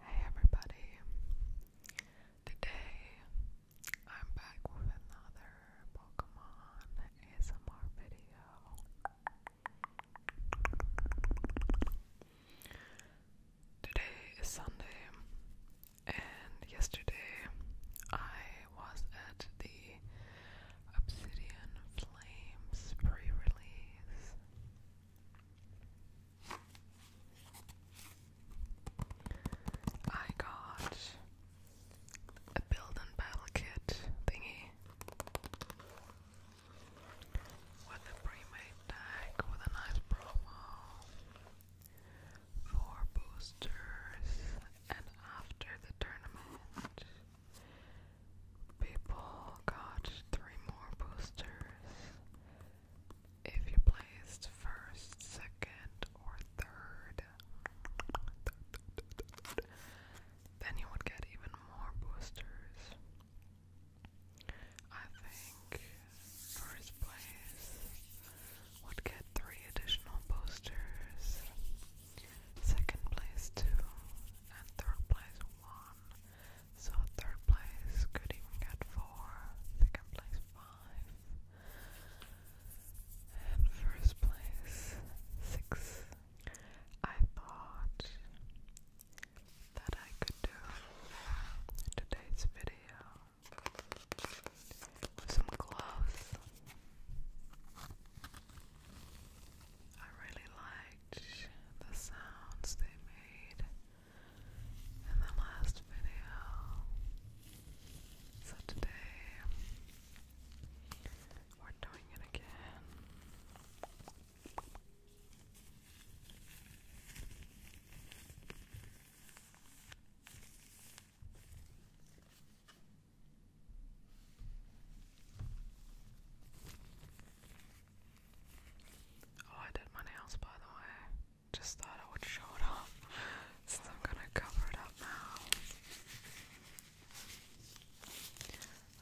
Hey everybody, today I'm back with another Pokemon ASMR video. Today is Sunday, and yesterday I was at the Obsidian Flames pre release. I got a build and battle kit thingy with a pre-made tag with a nice promo for boosters and after the tournament people got three more boosters if you placed first, second, or third, then you would get even more boosters. I think first place would get three additional boosters, second place two, and third place one. So third place could even get four, second place five, and first place six. I thought that I could do today's video with some gloves. I really liked the sounds they made in the last video. So today we're doing it again. Oh, I did my nails by the way. Just thought I would show it off since I'm gonna cover it up now.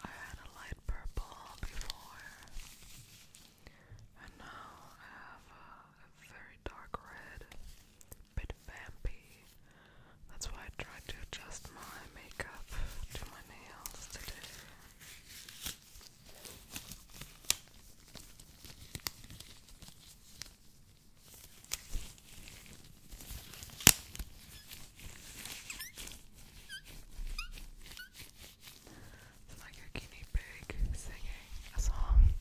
I had a light purple before, and now I have a, very dark red, bit vampy. That's why I tried to adjust my makeup to my nails today. It's like a guinea pig singing a song.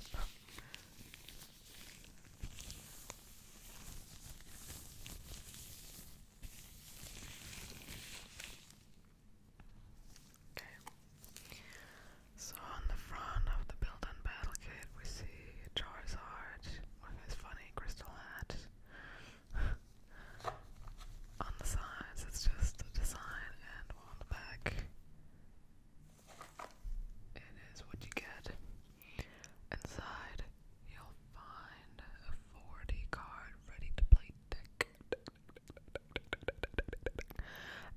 Okay. So on the front of the built-in battle kit, we see Charizard with his funny crystal hat. on the sides, it's just a design, and on the back, it is what you get. Inside, you'll find a 40 card ready to play deck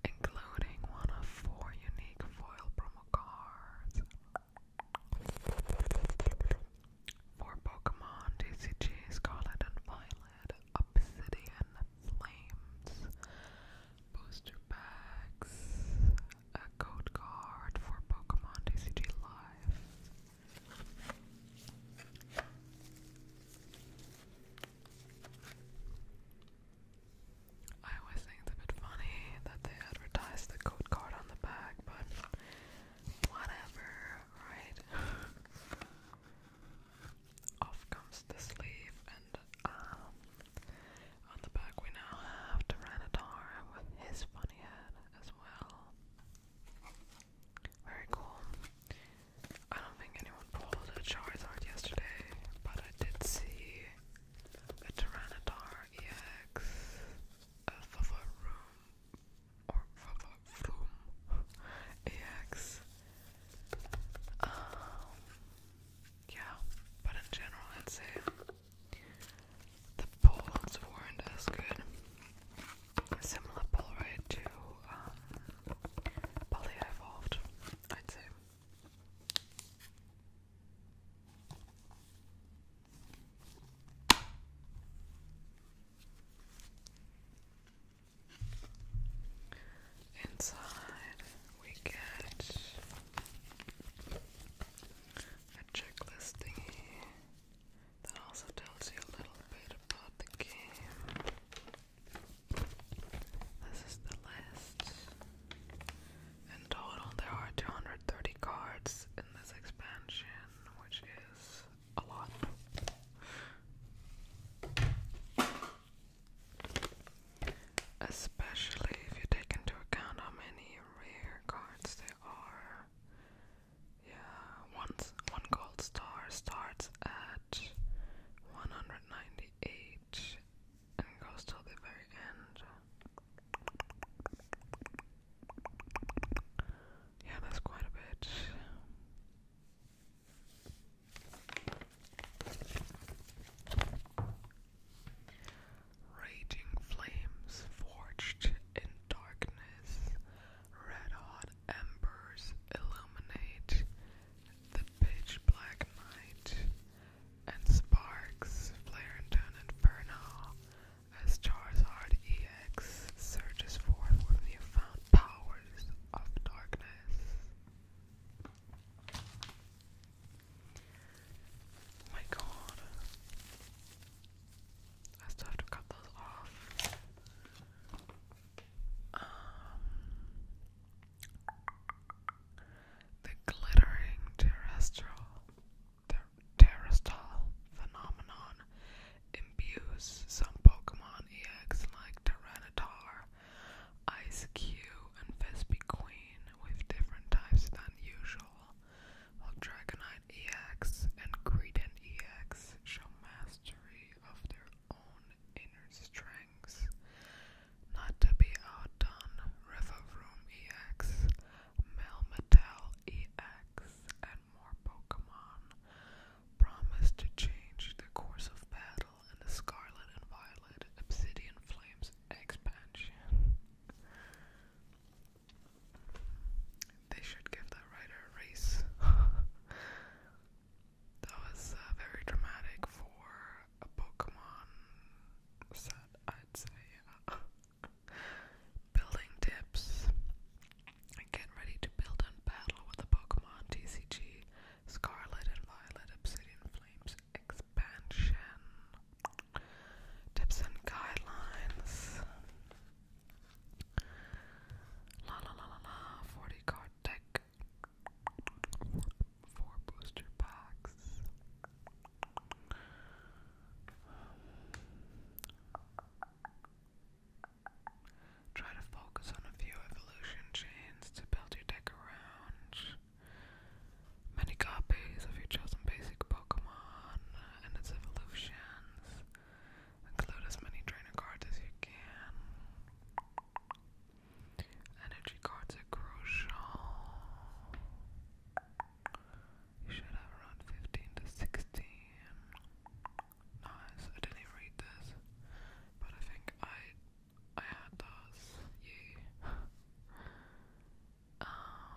including one of four unique foil promo cards for Pokemon TCG Scarlet and Violet, Obsidian Flames, booster packs, a code card for Pokemon TCG Live. I always think it's a bit funny that they advertise the code card on the back, but whatever, right? Off comes the sleeve, and um, on the back we now have Tyranitar with his funny head as well. Very cool. I don't think anyone pulled a Charizard yesterday, but I did see a Tyranitar EX, a Favaroom, or Favaroom EX. Um, yeah, but in general, I'd say the polls weren't as good similar Polaroid to um, Poly Evolved, I'd say. Inside we get a checklist thingy that also tells you a little bit about the game. This is the list. In total, there are 230 cards in this expansion, which is a lot. Especially if you take into account how many rare cards there are. Yeah, once one gold star starts at 198 and goes till the very end. Yeah, that's quite a bit. Raging flames forged in darkness, red hot embers illuminate the pitch black night, and sparks flare into an inferno as Charizard EX surges forth with newfound powers of darkness. my god. I still have those off. Um, the glittering terrestrial phenomenon imbues some Pokemon EX like Tyranitar, Ice Cube, and Vespiqueen with different types than usual, while Dragonite EX and Creedent EX show mastery of their own inner strength, not to be outdone. Riverroom EX, Melmetal EX, and more Pokemon promise to change the course of battle in the Scarlet and Violet Obsidian Flames expansion. They should give that writer a That was uh, very dramatic for a Pokemon set, I'd say. Uh, building tips. Get ready to build and battle with the Pokemon TCG Scarlet and Violet Obsidian Flames expansion. Tips and guidelines. La la la la la. 40 card deck. Four booster packs. Try to focus on a few evolution chains to build your deck around. Many copies of your chosen basic Pokemon and its evolutions. Include as many trainer cards as you can. Energy cards are crucial. You should have around 15 to 16. Nice, I didn't read this, but I think I I had those. Yeah. um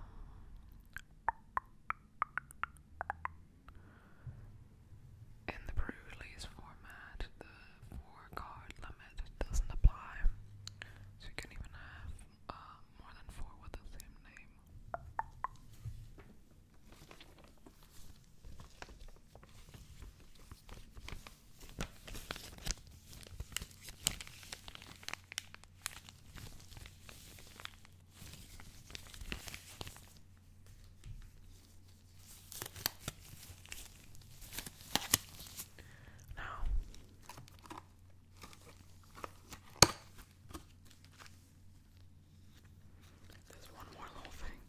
in the pre-release format, the four-card limit doesn't apply, so you can even have uh, more than four with the same name. Now, there's one more little thing.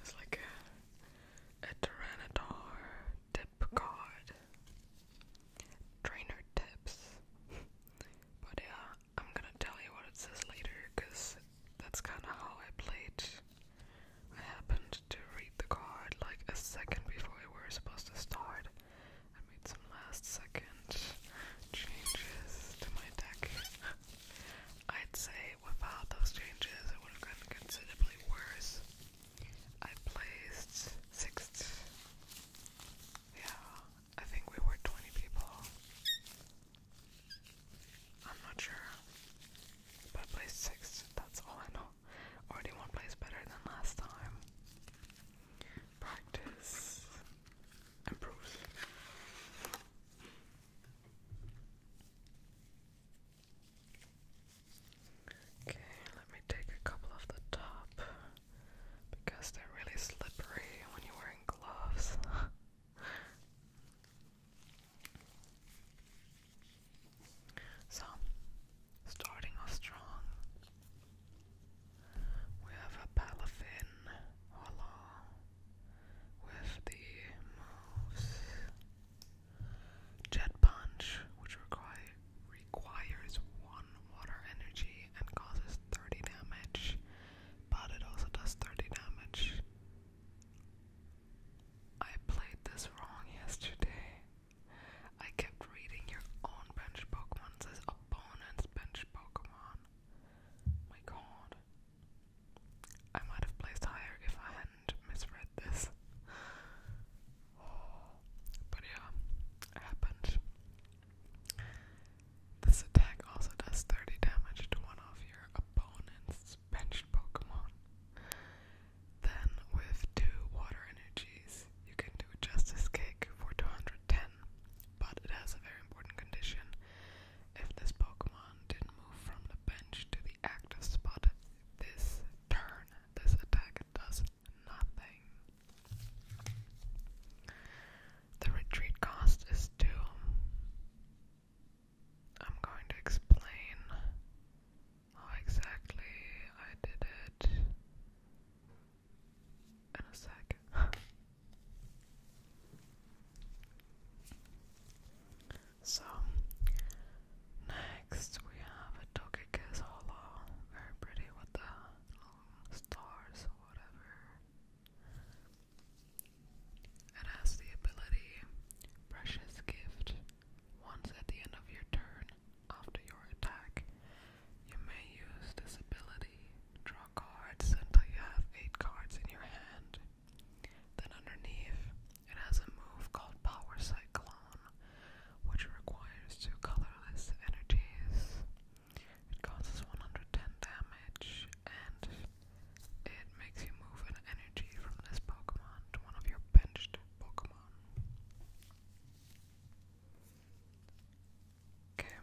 There's like a, a Tyranitar tip card. Trainer tips. but yeah, I'm gonna tell you what it says later because that's kind of how I played. I happened to read the card like a second before we were supposed to start. I made some last second changes to my deck. I'd say without those changes, it would have gotten considerably worse. I placed sixth. Yeah, I think we were 20 people. I'm not sure. But I placed sixth, that's all I know. Already one place better than last time. Practice improves. Okay, let me take a couple off the top because they're really slippery when you're wearing gloves. So, starting off strong, we have a Palafin Hala with the Jet Punch, which requires one water energy and causes 30 damage, but it also does 30 damage I played this wrong yesterday. I kept reading your own bench Pokemon, it says opponent's bench Pokemon. My god. I might have placed higher if I hadn't misread this. But yeah, it happened. This attack also does 30 damage to one of your opponent's benched Pokemon. Then, with two water energies, you can do Justice Cake for 210, but it has a very important condition. If this Pokemon didn't move from the bench to the active spot this turn, this attack does nothing. The retreat cost is 2. I'm going to explain how exactly I did it in a sec. so, next we have a Togekiss Hollow, very pretty with the stars whatever. It has the ability Precious Gift. Once at the end of your turn, after your attack, you may use this ability. Draw cards until you have 8 cards in your hand. Then underneath, it has a move called Power Cyclone, which requires two colorless energies. It causes 110 damage and it makes you move an energy from this Pokemon to one of your benched Pokemon. Okay.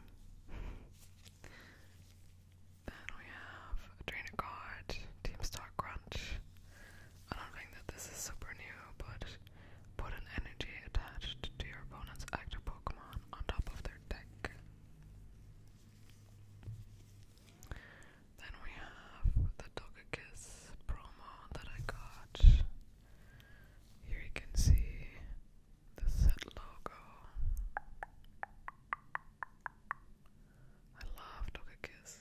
Then we have Draenegard, Team Star Crunch. I don't think that this is super new, but put an energy attached to your opponent's active Pokemon on top of their deck. Then we have the Togekiss promo that I got. Here you can see the set logo. I love Togekiss.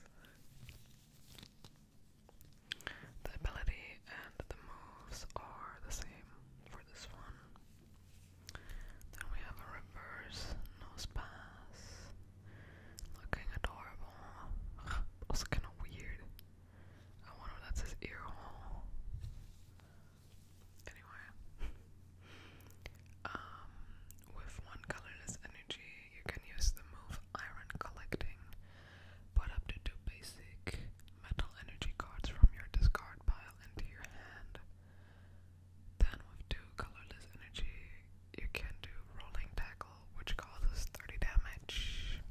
The ability and the moves are the same for this one. Then we have a reverse nose pass. Looking adorable. Also kind of weird. I wonder if that's his ear Anyway. Um, with one colorless energy, you can use the move Iron Collecting. Put up to two basic metal energy cards from your discard pile into your hand. Then with two colorless energy, you can do rolling tackle, which causes 30 damage.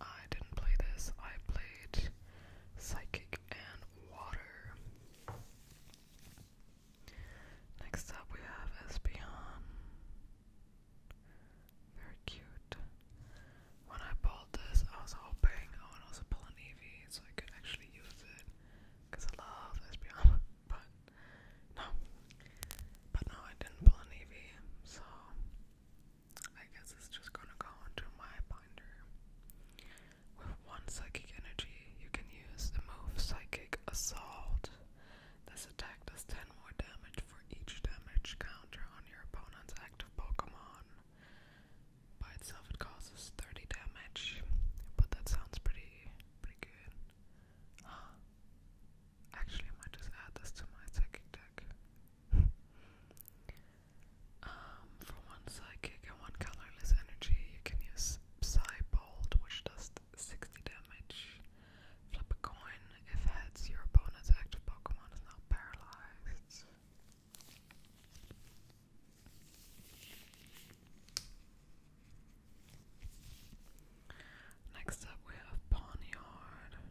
I didn't play this, I played psychic and water. Next up we have Espeon. Very cute. When I bought this, I was hoping oh, I would also pull an Eevee so I could actually use it. Cause I love Espeon, but no, but no, I didn't pull an EV, so I guess it's just gonna go into my binder. With one psychic energy, you can use the move Psychic Assault. This attack does 10 more damage for each damage counter on your opponent's active Pokemon. By itself, it causes 30 damage, but that sounds pretty pretty good. actually, might just add this to my psychic deck. Um, for one psychic and one colorless energy, you can use Bolt, which does 60 damage. Flip a coin. If heads, your opponent's active Pokemon is now paralyzed. Next up, we have Bonnyard. Um,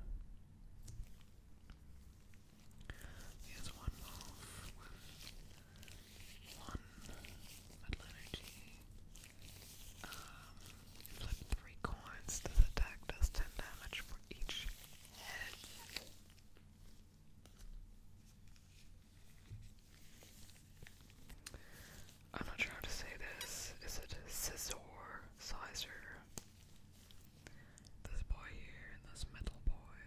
he has one move one metal energy. Um, flip three coins. This attack does 10 damage for each head. I'm not sure how to say this. Is it a scissor sizer? This boy here this metal boy.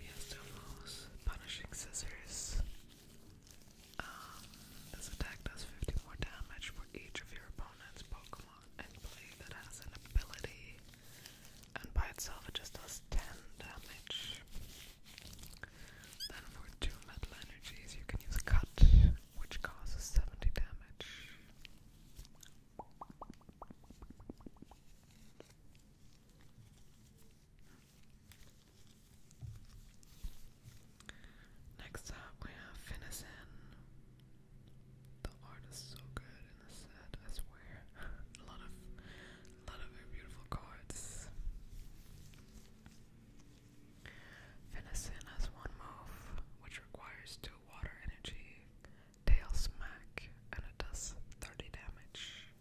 He has two most punishing scissors. Um, this attack does 50 more damage for each of your opponent's Pokemon and play that has an ability, and by itself it just does 10 damage. Then for two metal energies, you can use Cut, which causes 70 damage. Next up, we have Finnison. The art is so good in the set, I swear. a lot of lot of very beautiful cards. Venison has one move, which requires two water energy, tail smack, and it does 30 damage.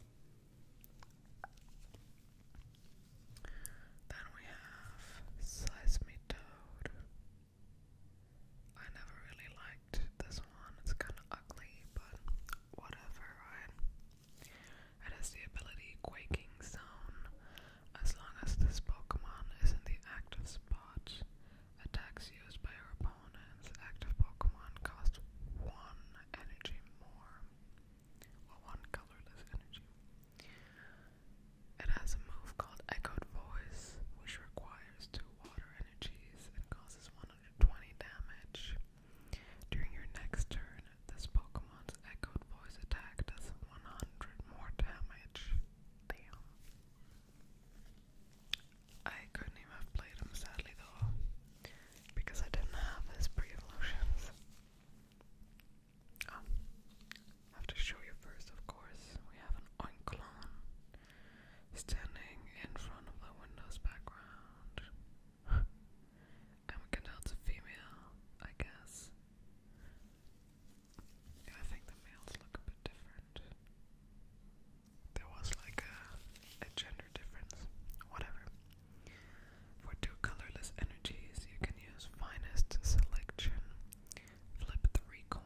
Then we have Seismitoad. I never really liked this one. It's kind of ugly, but whatever, It has the ability Quaking Zone. As long as this Pokemon is in the active spot, attacks used by your opponent's active Pokemon cost one energy more. Well, one colorless energy. It has a move called Echoed Voice, which requires two two water energies and causes 120 damage. During your next turn, this Pokemon's Echoed Voice attack does 100 more damage. Damn. I couldn't even have played him sadly though, because I didn't have his pre-evolutions. Oh, ah, have to show you first, of course. We have an Oinklon, standing in front of the window's background. I'm a female, I guess. Yeah, I think the males look a bit different. There was like a, gender difference. Whatever. For two colorless energies, you can use finest selection. Flip three coins.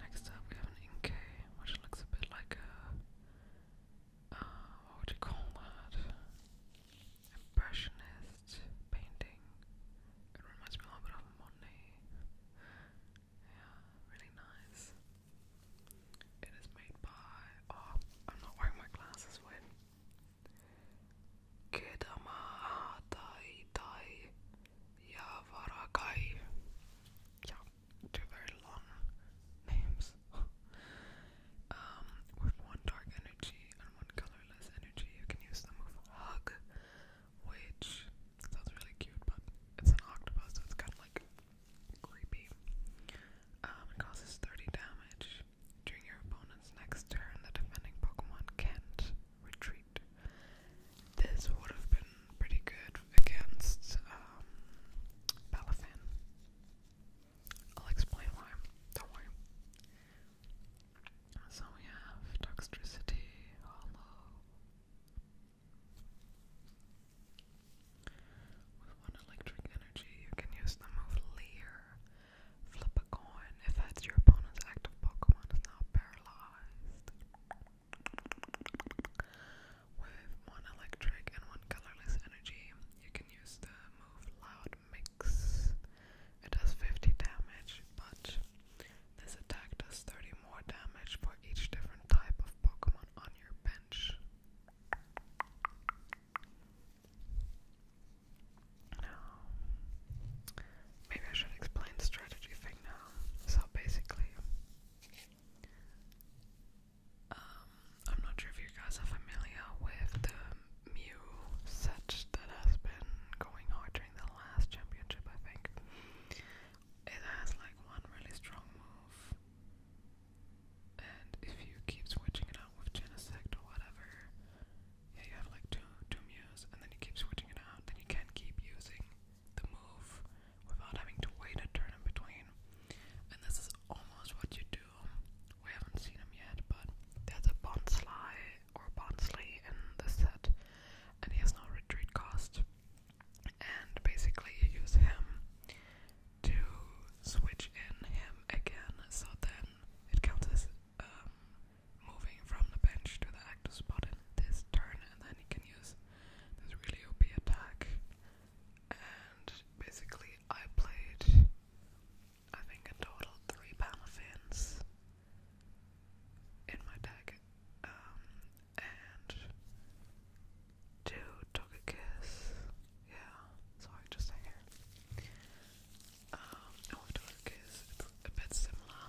Next up, we have an Inkay, which looks a bit like a. Uh, what would you call that? Impressionist painting. It reminds me a little bit of Monet. Yeah, really nice. It is made by. Oh, I'm not wearing my glasses, wait. Kedama tai tai ja Yeah, two very long names. Um, with one dark energy and one colorless energy, you can use the move Hug, which sounds really cute, but it's an octopus, so it's kind of like creepy. Um, it causes 30 damage. During your opponent's next turn, the defending Pokemon can't retreat. This would have been pretty good against Palafin. Um, I'll explain why. Don't worry. So we have Toxtricity, Hollow. With one electric energy, you can use the move Leer. Flip a coin. If that's your opponent's active Pokemon is now paralyzed. With one electric and one colorless energy, you can use the move Loud Mix. It does 50 damage, but this attack does 30 more damage for each different type of Pokemon on your bench. Now, maybe I should explain the strategy thing now. So basically, um, I'm not sure if you guys are familiar with the Mew set that has been going hard during the last championship, I think. It has like one really strong move. And if you keep switching it out with Genesect or whatever, yeah, you have like two two Mews, and then you keep switching it out. Then you can keep using the move without having to wait a turn in between. And this is almost what you do. We haven't seen him yet, but there's a Bonsly or Bonsley in the set, and he has no retreat cost. And basically, you use him to switch in him again, so then it counts as um, moving from the bench to the active spot in this turn, and then he can use this really OP attack. And basically, I played, I think, a total three Palafins in my deck, um, and two took a kiss. Yeah, so I just hang here um, oh, is a bit similar.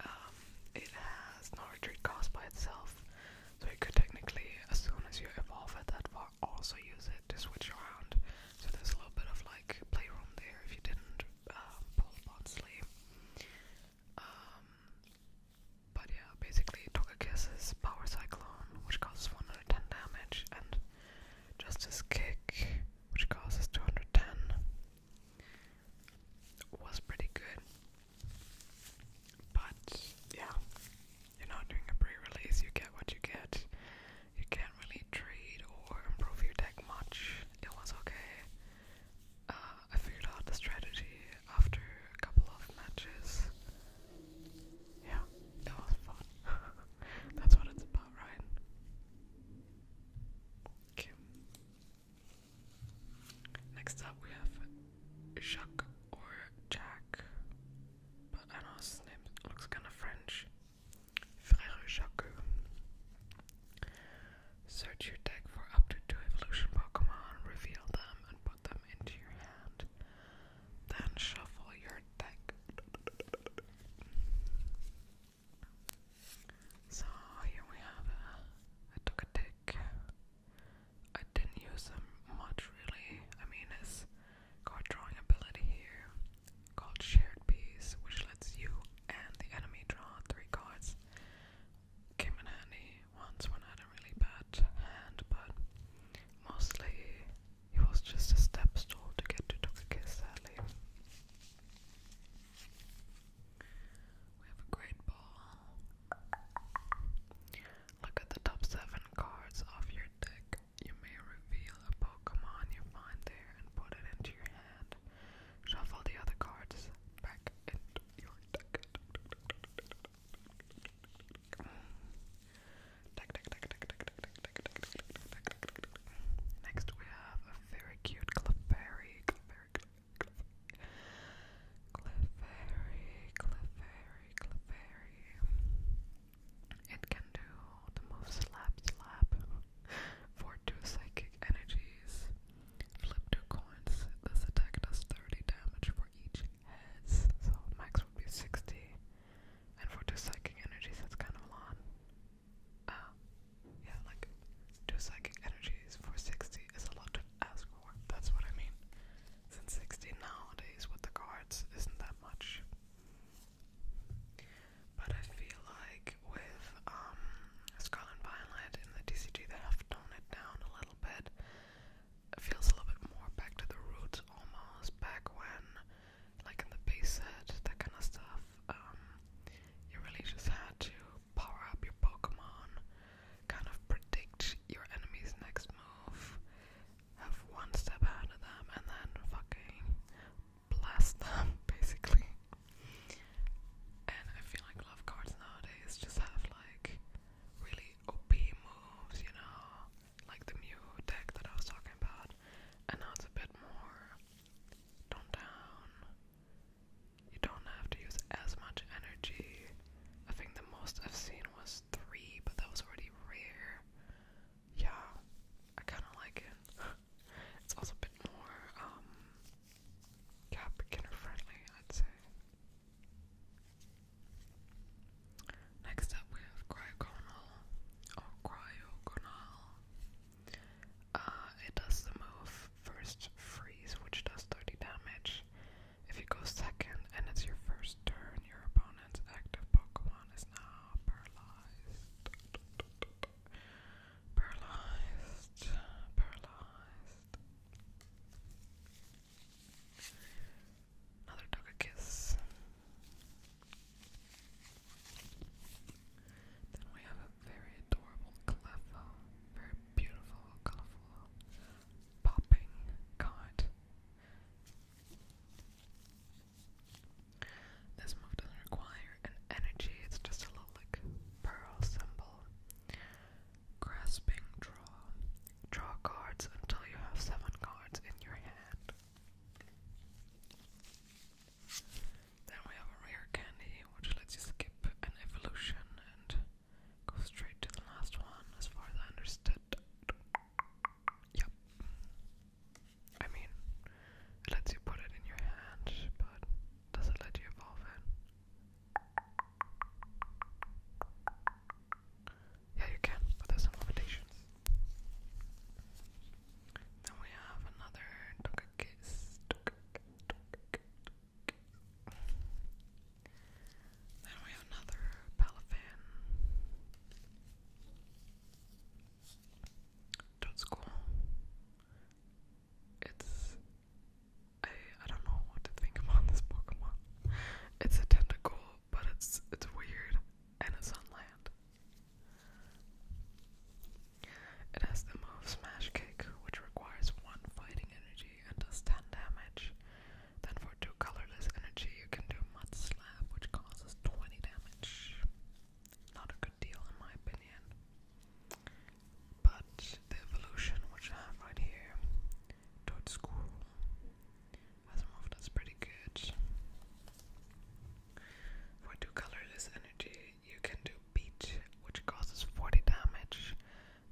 Um, it has no retreat cost by itself, so you could technically, as soon as you evolve it that also use it to switch around. So there's a little bit of like playroom there if you didn't uh, pull upon sleep. Um, but yeah, basically Togekiss is Power Cyclone, which causes 110 damage, and Justice Kick, which costs us 210, was pretty good. But yeah, you know, during a pre-release, you get what you get. You can't really trade or improve your deck much. It was okay. Uh, I figured out the strategy after a couple of matches. Yeah, that was fun. That's what it's about, right? Okay. Next up we have Jacques or Jack. I don't know his name looks kinda French. Frère Jacques. Search your deck for up to two evolution Pokemon, reveal them, and put them into your hand. Then shuffle your deck so here we have a, I took a tick. I didn't use them much really. I mean, it's got drawing ability here called Shared Piece, which lets you and the enemy draw three cards. Came in handy once when I had a really bad hand, but mostly it was just a step stool to get to Tokaki's Alley. We have a great ball. Look at the top seven cards of your deck. You may reveal a Pokemon you find there and put it into your hand. Shuffle the other cards back into your deck. Next we have a very cute Clefairy, Clefairy, Clefairy, Clefairy, It can do the move Slap Slap for 2 psychic energies. Flip 2 coins. This attack does 30 damage for each heads, so max would be 60. And for 2 psychic energies, that's kind of a lot. Uh, yeah, like two psychic energies for 60 is a lot to ask for. That's what I mean. Since 60 nowadays with the cards isn't that much. But I feel like with um, Scarlet Violet and the DCG, they have toned it down a little bit. It feels a little bit more back to the roots almost, back when like in the base set, that kind of stuff. Um, you really just had to power up your Pokemon, kind of predict your enemy's next move, have one step ahead of them, and then fucking blast them, basically. And I feel like love cards nowadays just have like really OP moves, you know, like the Mew deck that I was talking about, and now it's a bit more Tone down. You don't have to use as much energy. I think the most I've seen was three, but that was already rare. Yeah, I kind of like it. it's also a bit more, um, beginner friendly, I'd say. Next up, we have cryogonal, or oh, cryogonal. Uh, it does the move first freeze, which does 30 damage. If you go second and it's your first turn, your opponent's active Pokemon is now paralyzed. Paralyzed. Paralyzed. Another took a kiss. Then we have a very adorable Cleffa, very beautiful, colorful, popping card. This move doesn't require an energy, it's just a little like pearl symbol. Grasping draw. Draw cards until you have seven cards in your hand. Then we have a rare candy, which lets you skip an evolution and go straight to the last one, as far as I understood. Yep. I mean, it lets you put it in your hand, but does it let you evolve it? Yeah, you can, but there's some limitations. Then we have another Toka Kiss. Toka, toka, Then we have another Palafan. Toad's It's I I don't know what to think about this Pokemon. It's a tentacle, but it's it's weird and it's on land. It has the move Smash Kick, which requires one fighting energy and does 10 damage. Then for two colorless energy, you can do Mud Slap, which causes 20 damage. Not a good deal in my opinion. But the evolution, which I have right here, Toad School, has a move that's pretty good. For two colorless energy, you can do Beach, which causes 40 damage.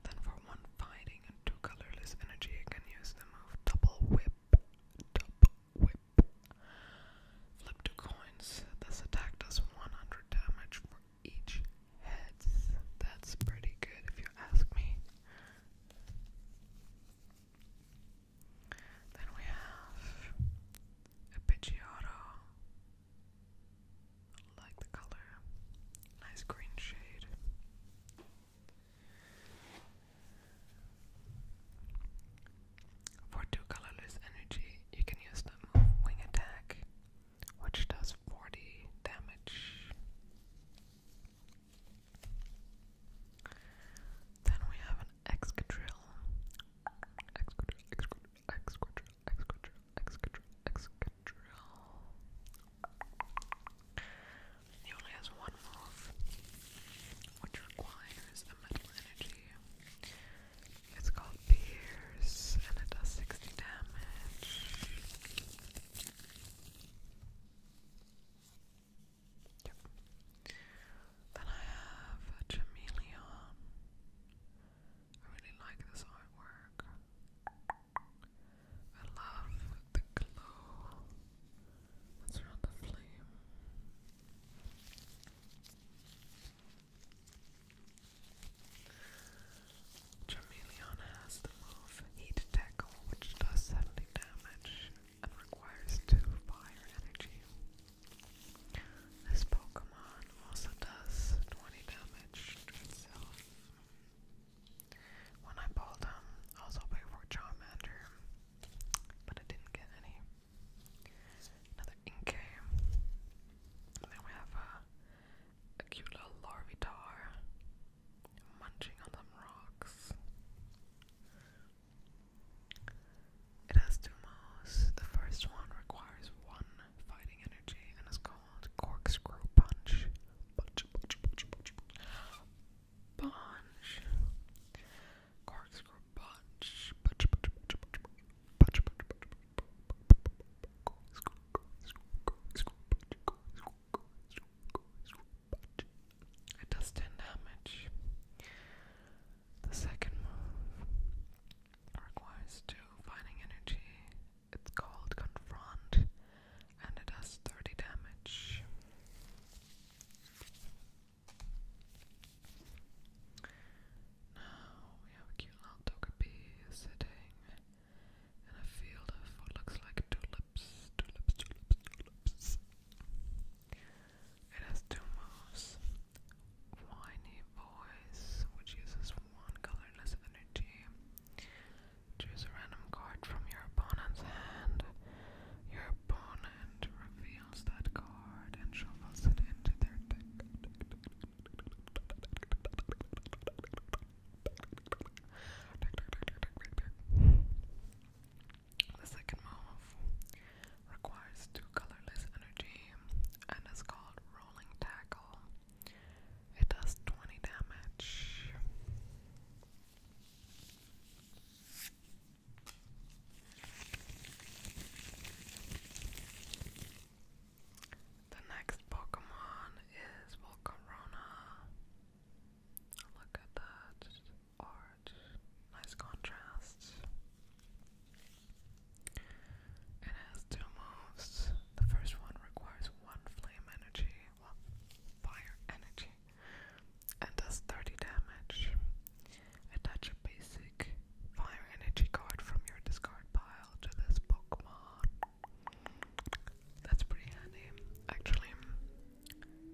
Then for one fighting and two colorless energy, you can use the move Double Whip. Double Whip. Flip two coins. This attack does 100 damage for each heads. That's pretty good if you ask me. Then we have a Pidgeotto. Like the color, nice green shade. For two colorless energy, you can use the wing attack, which does 40 damage. Then we have Excadrill. Excadrill, Excadrill, Excadrill, Excadrill, Excadrill, Excadrill. He only has one move, which requires a metal energy. It's called Pierce, and it does 60 damage. Yep. Then I have a Chameleon. I really like this artwork. I love the glow that's around the flame. Chameleon has the move Heat Tackle, which does 70 damage and requires 2 fire energy. This Pokemon also does 20 damage to itself. When I pulled him, I was hoping for Charmander, but I didn't get any. Another Inkay. then we have uh, a cute little Larvitar munching on some rocks. It has two moves. The first one requires one fighting energy and is called Corkscrew Punch. Punch, punch, punch, punch, punch. Punch. Corkscrew Punch. Punch, punch, punch, punch, punch. Punch, punch, punch, punch, punch. Corkscrew, corkscrew, corkscrew, punch, corkscrew, corkscrew, corkscrew, punch. It does 10 damage. The second move requires two finding energy. It's called Confront and it does 30 damage. Now we have a cute little Togepi sitting in a field of what looks like tulips. It has two moves. Whiny voice, which uses one colorless energy. Choose a random card from your opponent's hand. Your opponent reveals that card and shuffles it into their deck. The second move requires two colorless energy, and is called Rolling Tackle. It does 20 damage. The next Pokemon is Volcarona. Look at that nice contrasts. It has two moves. The first one requires one flame energy, well, fire energy, and does 30 damage. Attach a basic fire energy card from your discard pile to this Pokemon. That's pretty handy, actually.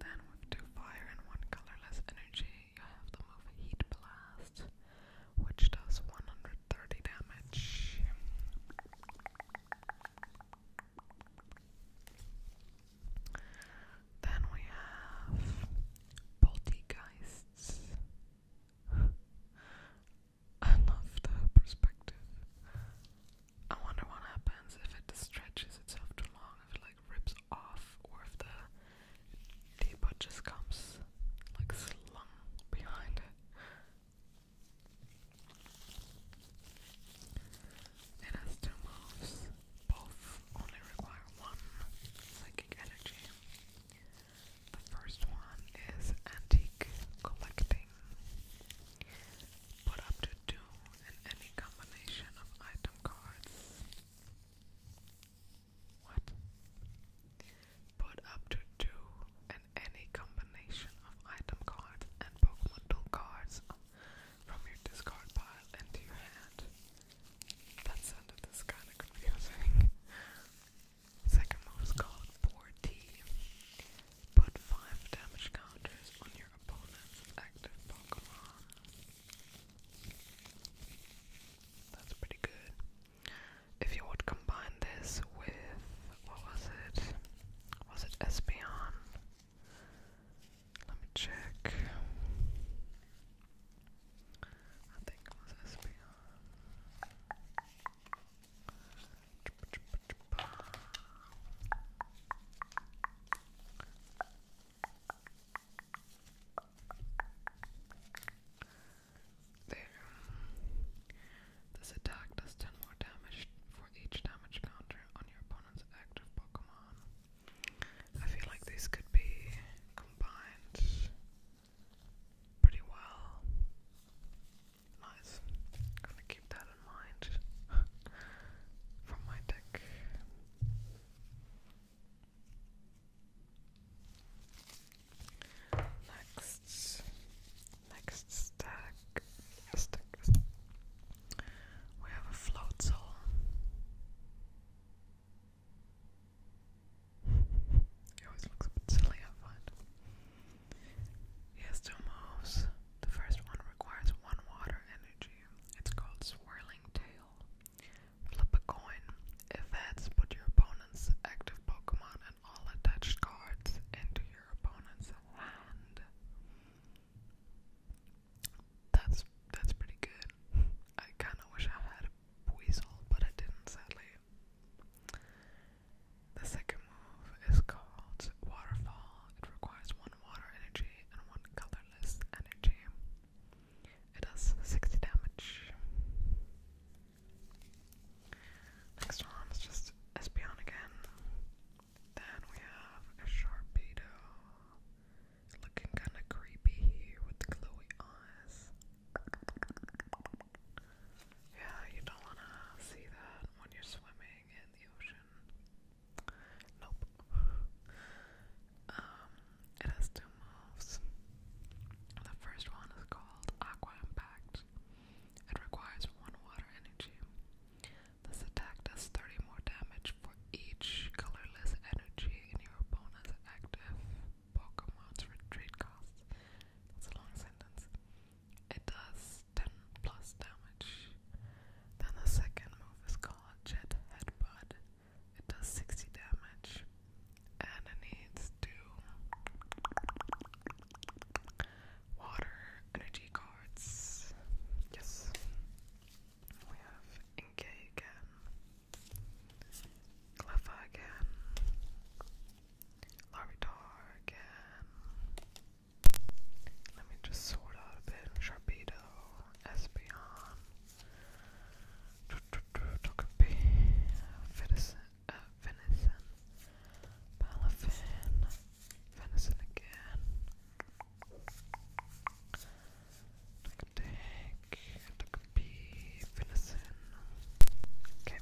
Then, two fire and one colorless energy, you have the Heat Blast, which does 130 damage. Then we have Poltergeists. I love the perspective. I wonder what happens if it stretches itself too long, if it like rips off, or if the the butt just comes like slung behind it. It has two moves, both only require one psychic energy. The first one is antique collecting. Put up to two any combination of item cards. What? Put up to two and any combination of item cards and Pokemon Duel cards from your discard pile into your hand. That sounded this kind of confusing. Second move is called 4T. Put five damage counters on your opponent's active Pokemon. That's pretty good. If you would combine this with what was it? Was it Espeon? Let me check. I think it was Espeon. This attack does 10 more damage for each damage counter on your opponent's active Pokemon. I feel like these could be combined pretty well. Nice. Gonna keep that in mind for my deck. Next, next stack, We have a float he always looks a bit silly, I find. He has two moves. The first one requires one water energy. It's called Swirling Tail. Flip a coin. If heads, put your opponent's active Pokemon and all attached cards into your opponent's hand. That's that's pretty good. I kinda wish I had a weasel, but I didn't sadly. The second move is called Waterfall. It requires one water energy and one colorless energy. It does 60 damage. Next one is just Espeon again. Then we have a Sharpedo. Looking kinda creepy here with the glowy eyes. Yeah, you don't wanna see that when you're swimming in the ocean. Nope. Um, it has two moves. The first one is called Aqua Impact. It requires one water energy. This attack does 30 more damage for each colorless energy in your opponent's active Pokemon's retreat cost. That's a long sentence. It does 10 plus damage. Then the second move is called Jet Headbutt. It does 60 damage. And it needs two water energy cards. Yes. We have Inke again. Cleffa again. Larvitar again. Let me just sort out a bit. Sharpedo, Espeon. Tocopie, venison, uh, venison, palafin, venison again. Take Tocopie, venison. Okay.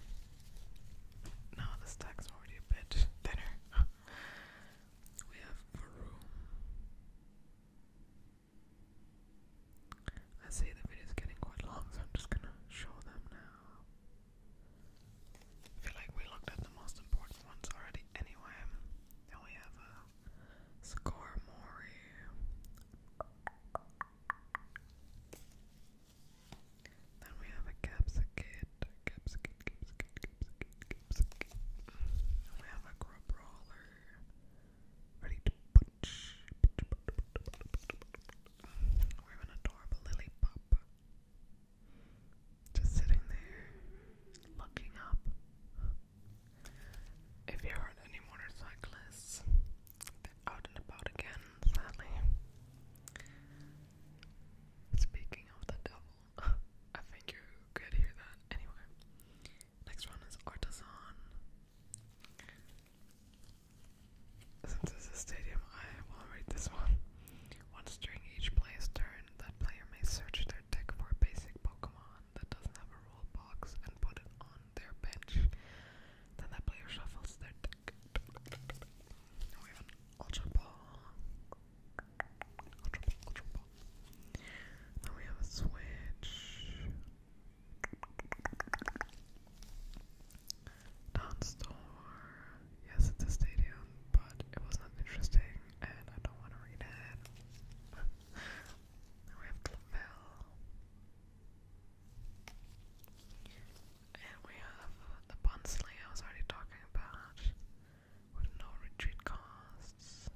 Now the stack's already a bit thinner. we have Varum. I see the video is getting quite long, so I'm just gonna show them now. I feel like we looked at the most important ones already anyway. Then we have a uh, score Then we have a capsicate, We have a grub ready to punch. We're an adorable lily pop. Just sitting there, looking up. If you heard any motorcyclists, they're out and about again, sadly. Speaking of the devil, I think you could hear that anyway. Next one is Artisan. Since this is a stadium, I will read this one. Once during each player's turn, that player may search their deck for a basic Pokemon that doesn't have a rule box and put it on their bench. Then that player shuffles their deck. we have Ultra Ball. Ultra Ball, Ultra we have a Switch non Yes, it's a stadium, but it was not interesting, and I don't want to read it. we have Clavell. And we have the Bunsley I was already talking about, with no retreat costs.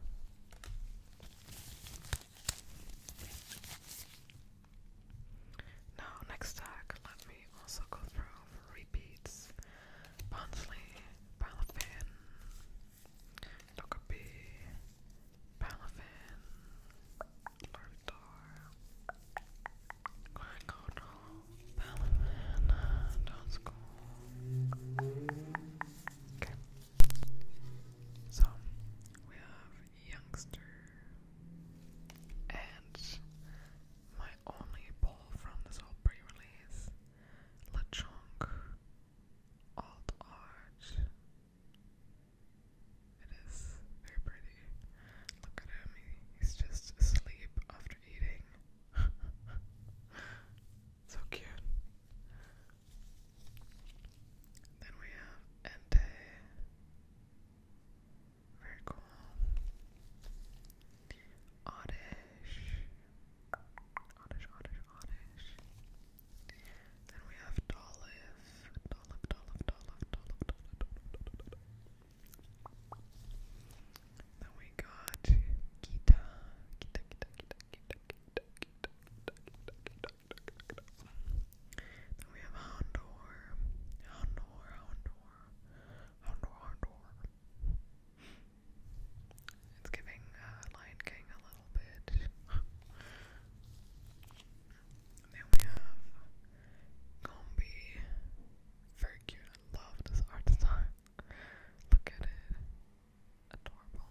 Now, next stack, let me also go through for repeats. Bonsley, Palafin, Dokkaebi, Palafin, Larvitar, Quackodle, Palafin, Downskull. Okay. So, we have youngster. And my only pull from this whole pre release LeChonk Alt Arch. It is very pretty. Look at him, he's just asleep after eating. so cute. Then we have Entei, very cool. Oddish. Oddish, Oddish, Then we have Dolliv. Dolliv, Dolliv, Dolliv, Dolliv, Dolliv, Then we got Kita. Kita, Kita, Kita, Kita, Kita, Kita, Kita, then we have Houndour, Houndour, Houndour, Houndour, Houndour. It's giving uh, Lion King a little bit. then we have Gombi. Very cute. I love this art design. Look at it. Adorable.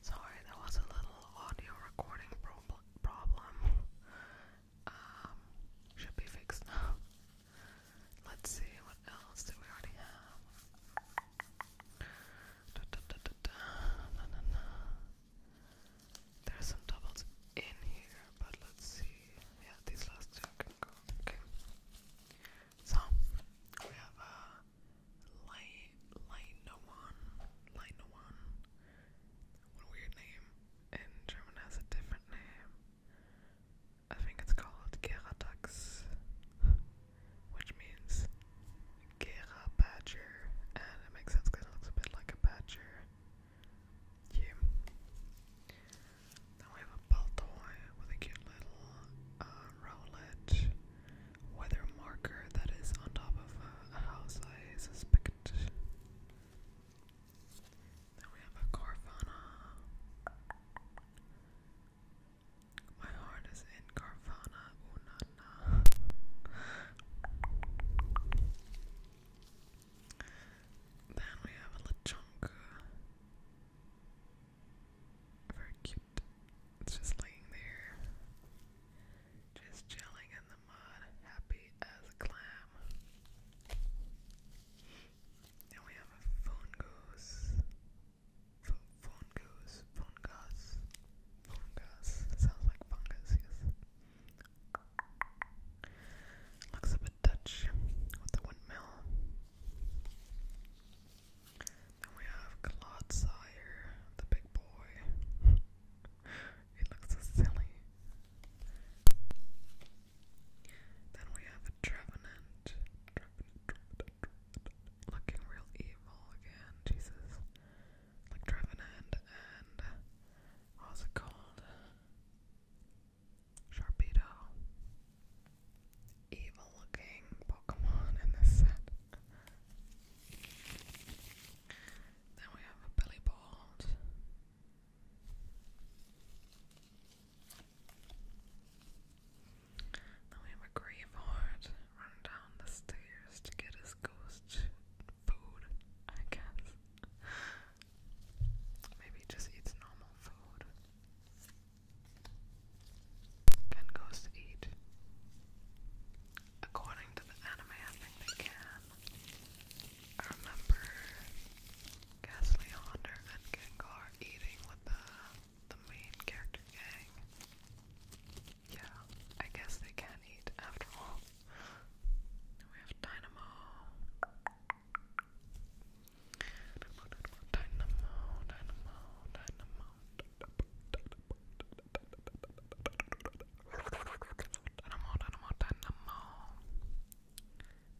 Sorry, there was a little audio recording prob problem. Um, should be fixed now. Let's see, what else do we already have? Da, da, There's some doubles in here, but let's see. Yeah, these last two can go. Okay. So, we have uh, Linoan, Linoan, what a weird name, and German has a different name, I think it's called Geradax, which means Gera Badger, and it makes sense because it looks a bit like a badger, yeah. Now we have a Baltoy with a cute little uh, weather marker that is on top of a, house, I suspect. Then we have a Carvana. My heart is in Carvana, ooh Then we have a Lechonka. Very cute. It's just laying there, just chilling in the mud, happy as a clam. Now we have a phone goose. phone goose, phone goose, phone goose. Sounds like fungus, yes. Looks a bit Dutch with the windmill. Then we have Clodsire, the big boy. he looks silly. Then we have a Looking real evil again, Jesus. Like Trevenant and uh, it called? Sharpedo. Evil looking Pokemon in this set. Then we have a belly board. Then we have a graveyard. Run down the stairs to get his ghost food, I guess. Maybe he just eats normal food. Can ghosts eat? according to the anime, I think they can. I remember Ghastly Gengar eating with the the main character gang. Yeah, I guess they can eat after all. we have Dynamo, Dynamo, Dynamo, Dynamo, Dynamo, Dynamo, Dynamo, Dynamo.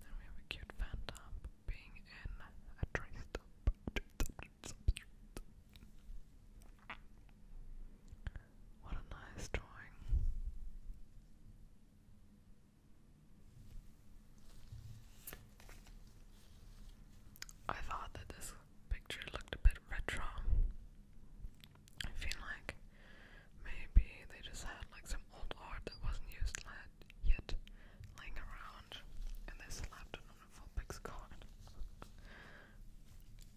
Then we have a cute phantom being in a traced What a nice drawing. I thought that this picture looked a bit retro. I feel like maybe they just had like some old art that wasn't used yet laying around and they slapped it on a full card.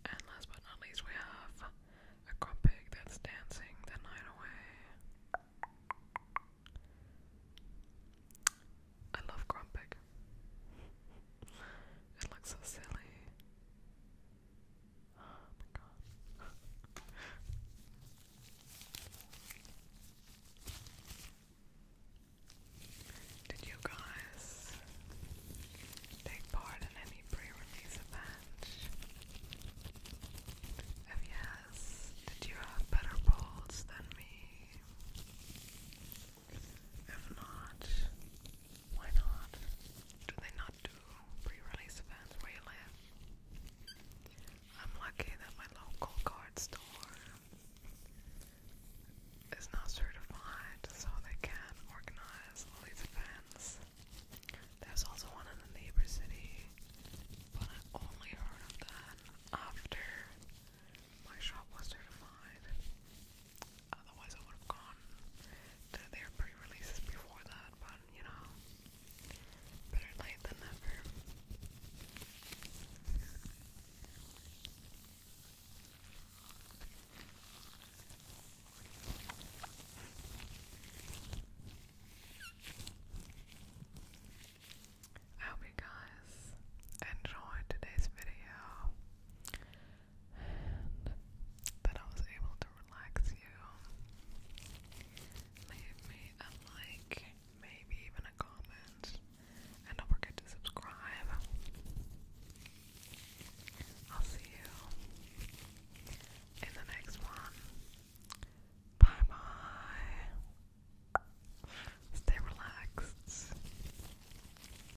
And last but not least we have a Grumpig that's dancing the night away. I love Grumpig. It looks so silly. Oh my god. Did you guys take part in any pre-release event? If yes, did you have better polls than me? If not, why not? Do they not do pre-release events where you live? I'm lucky that my local card store is not certified, so they can organize these events. There's also one in the neighbor city, but I only heard of that after my shop was certified. Otherwise, I would have gone to their pre releases before that, but you know, better late than never. I hope you guys enjoyed today's video and that I was able to relax you. Leave me a like, maybe even a comment, and don't forget to subscribe. I'll see you in the next one. Bye bye. Stay relaxed.